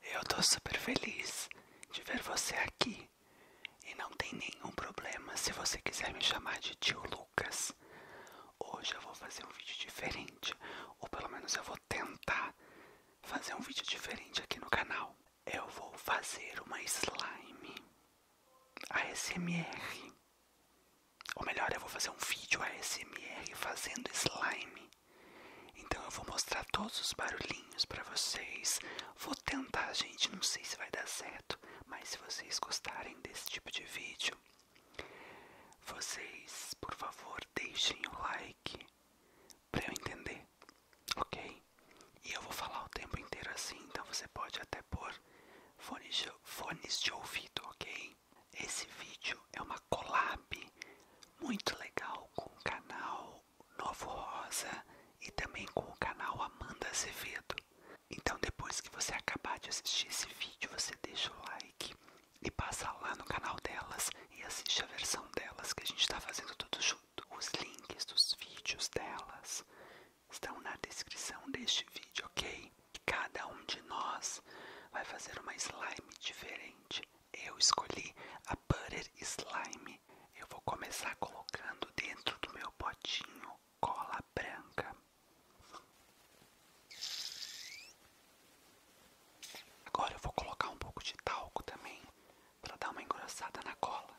Eu tô super feliz de ver você aqui. E não tem nenhum problema se você quiser me chamar de tio Lucas. Hoje eu vou fazer um vídeo diferente, ou pelo menos eu vou tentar fazer um vídeo diferente aqui no canal. Eu vou fazer uma slime ASMR ou melhor, eu vou fazer um vídeo ASMR fazendo slime. Então eu vou mostrar todos os barulhinhos para vocês. Vou tentar, gente, não sei se vai dar certo, mas se vocês gostarem desse tipo de vídeo, vocês, por favor, deixem o like para eu entender, ok? E eu vou falar o tempo inteiro assim, então você pode até pôr fones de, fones de ouvido, ok? Esse vídeo é uma collab muito legal com o canal Novo Rosa e também com o canal Amanda Azevedo. Então depois que você acabar de assistir esse vídeo, você deixa o like e passa lá no canal delas e assiste a versão delas que a gente está fazendo tudo junto. Os links dos vídeos delas estão na descrição deste vídeo, ok? que cada um de nós vai fazer uma slime diferente. Eu escolhi a Butter Slime. Eu vou começar colocando dentro do meu potinho cola branca. Agora eu vou colocar um pouco de talco também para dar uma engrossada na cola.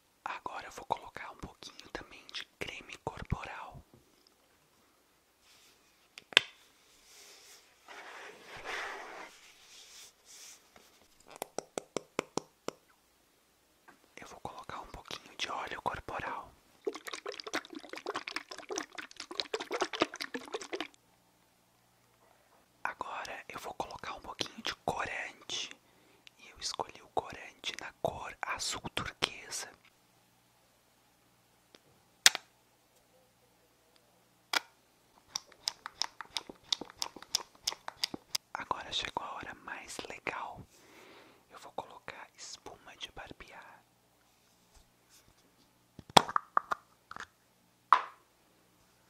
Agora eu vou colocar um pouquinho também de creme corporal. Eu vou colocar um pouquinho de óleo corporal. Agora eu vou colocar um pouquinho de corante. E eu escolhi o corante na cor azul turquesa. Agora chegou a hora mais legal. Eu vou colocar espuma de barbear.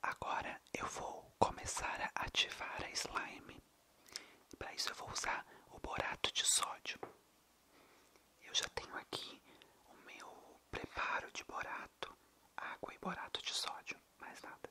Agora eu vou começar a ativar a slime. Para isso eu vou usar o borato de sódio. Eu já tenho aqui o meu preparo de borato, água e borato de sódio, mais nada.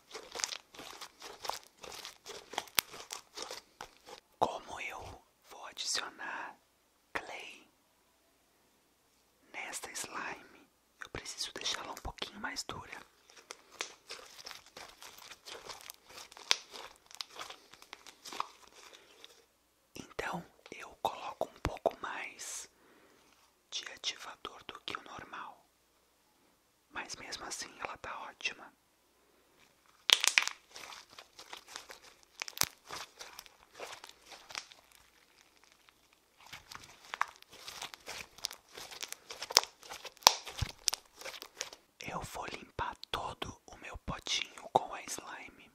Como eu vou adicionar clay nesta slime, eu preciso deixá-la um pouquinho mais dura. Então eu coloco um pouco mais de ativador do que o normal. Mas mesmo assim ela tá ótima. Eu vou limpar todo o meu potinho com a slime.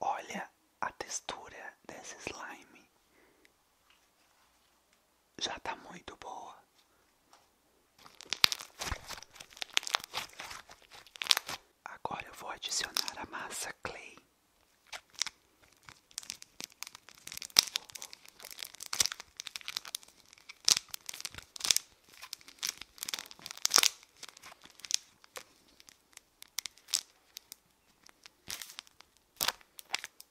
Olha a textura desse slime já está muito boa. Agora eu vou adicionar a massa clay.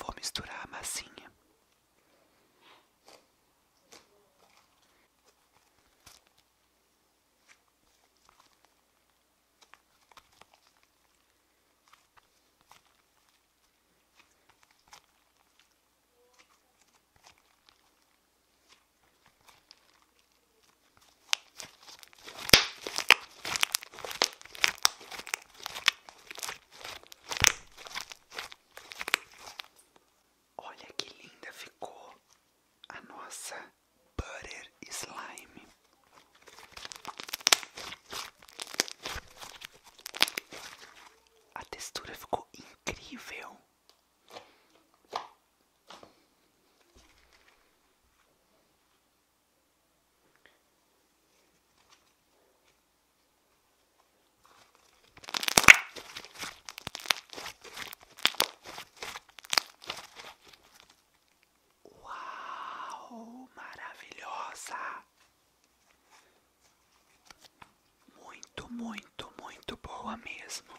Vou misturar a massinha. Olha que linda ficou a nossa Butter Slime. A textura ficou incrível. Uau, maravilhosa! Muito, muito, muito boa mesmo.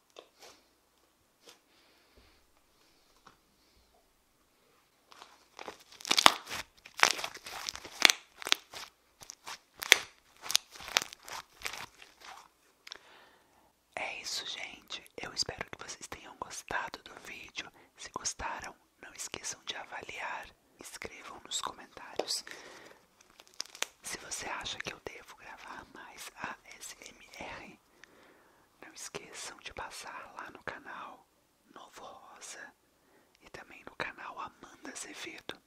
É isso, gente. Eu espero que vocês tenham gostado do vídeo. Se gostaram, não esqueçam de avaliar, escrevam nos comentários se você acha que eu devo gravar mais ASMR, não esqueçam de passar lá no canal Novo Rosa e também no canal Amanda Zevedo.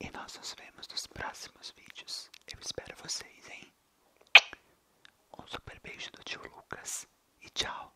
E nós nos vemos nos próximos vídeos. Eu espero vocês, hein? Um super beijo do tio Lucas e tchau!